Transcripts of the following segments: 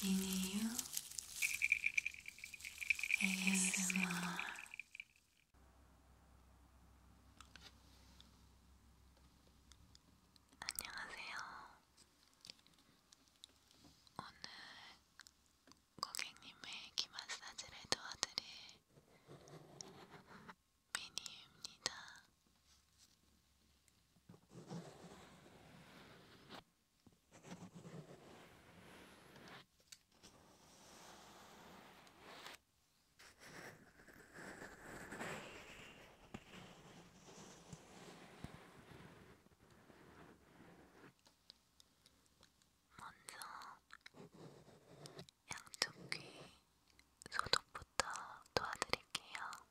미니유 ASMR 안녕하세요. 오늘 고객님의 귀 마사지를 도와드릴 미니유입니다. 먼저 양쪽 귀 소독부터 도와드릴게요.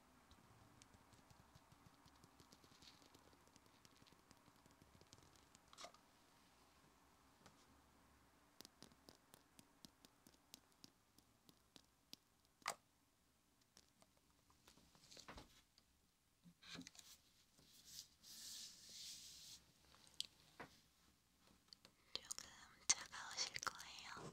조금 차가우실 거예요.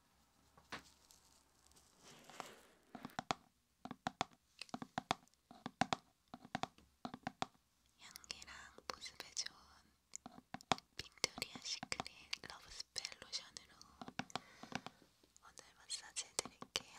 향기랑 보습에 좋은 빅토리아 시크릿 러브스펠 로션으로 오늘 마사지 해드릴게요.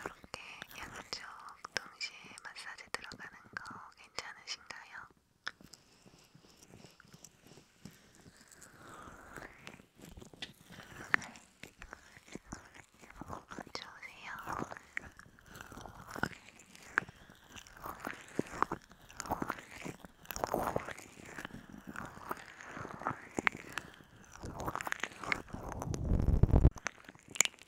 이렇게 양쪽 동시에 마사지 들어가는 거 괜찮으신가요? 좋으세요?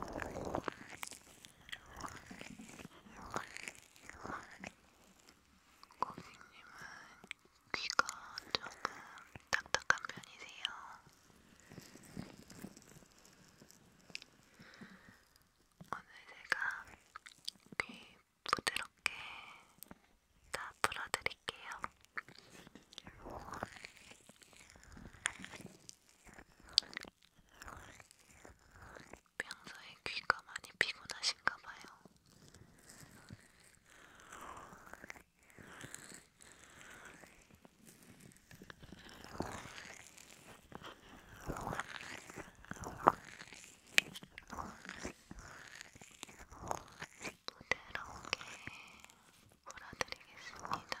고객님은 아, 귀가 조금 딱딱한 편이세요. 오늘 제가 귀 부드럽게 다 풀어드릴게요. 평소에 귀가 많이 피곤하신가 봐요. 부드럽게 몰아드리겠습니다.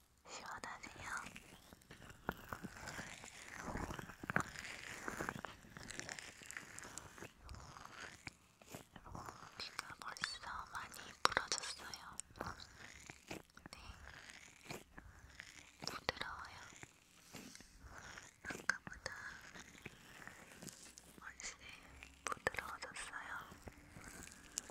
시원하세요? 귀가 벌써 많이 부러졌어요. 네, 부드러워요. 아까보다 훨씬 부드러워졌어요.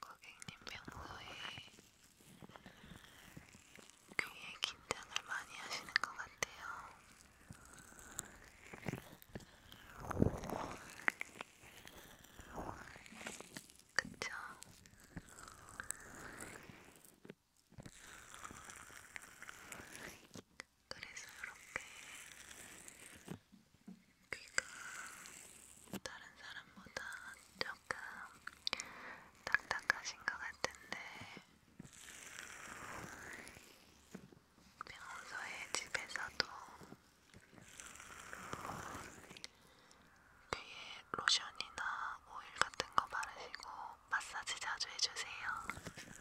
고객님 평소에 귀에 긴장을 많이 하시는 것 같아요. 그쵸? 그래서 이렇게 귀가 다른 사람보다 좀 조금 딱딱하신 것 같은데 평소에 집에서도 귀에 로션이나 오일 같은 거 바르시고 마사지 자주 해주세요.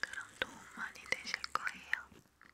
그럼 도움 많이 되실 거예요.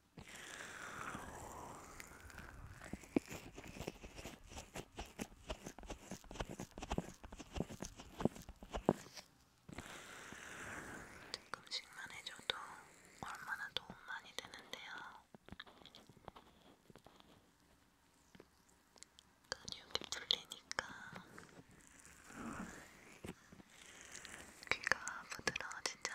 조금씩만 해줘도 얼마나 도움 많이 되는데요. 근육이 그 풀리니까 귀가 부드러워지죠?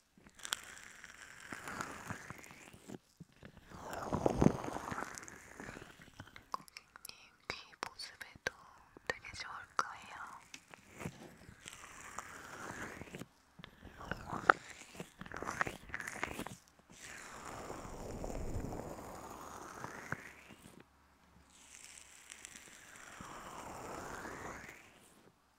이귀 모습에도 되게 좋을 거예요. 이렇게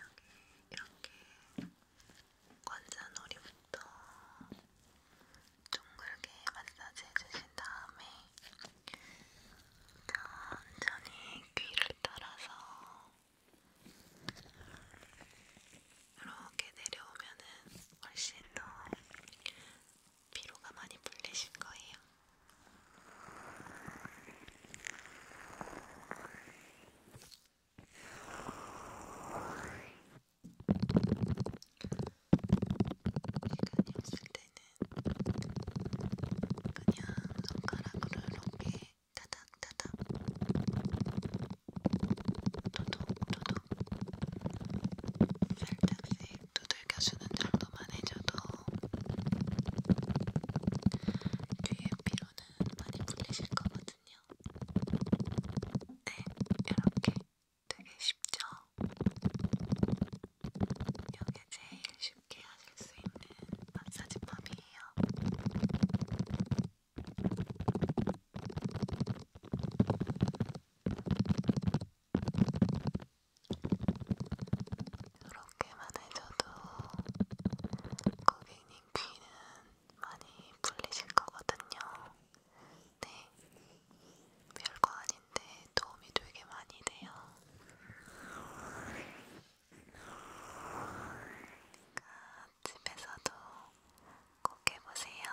여기 이렇게 관자놀이부터 둥글게 마사지 해주신 다음에 천천히 귀를 따라서 이렇게 내려오면은 훨씬 더 피로가 많이 풀리실 거예요. 시간이 없을 때는 그냥 손가락으로 이렇게 타닥타닥 도둑도둑 살짝씩 두들겨주는 정도만 해줘도 귀의 그 피로는 많이 풀리실 거거든요. 네, 이렇게 되게 쉽죠? 이게 제일 쉽게 하실 수 있는 마사지 펌이에요. 이렇게만 해줘도 고객님 귀는 많이 풀리실 거거든요. 네, 별거 아닌데 도움이 되게 많이 돼요. 그러니까 집에서도 꼭 해보세요.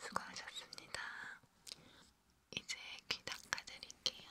수고하셨습니다. 이제 귀 닦아드릴게요.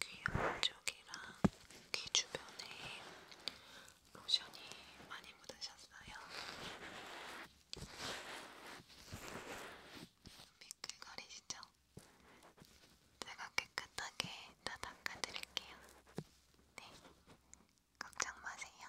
귀 안쪽이랑 귀 주변에 로션이 많이 묻으셨어요. 미끌거리시죠? 제가 깨끗하게 다 닦아드릴게요. 네, 걱정 마세요.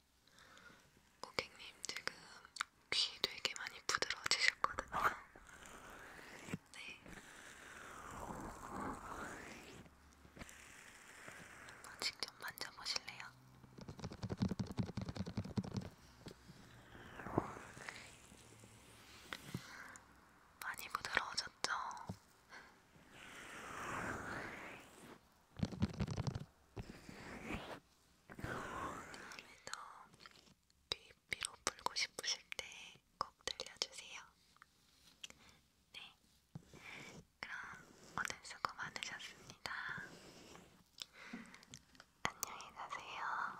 고객님 지금 귀 되게 많이 부드러워지셨거든요. 네. 한번 직접 만져보실래요? 많이 부드러워졌죠? 다음에도 귀피로 풀고 싶으실 때 꼭 들려주세요. 네, 그럼 오늘 수고 많으셨습니다. 안녕히 가세요.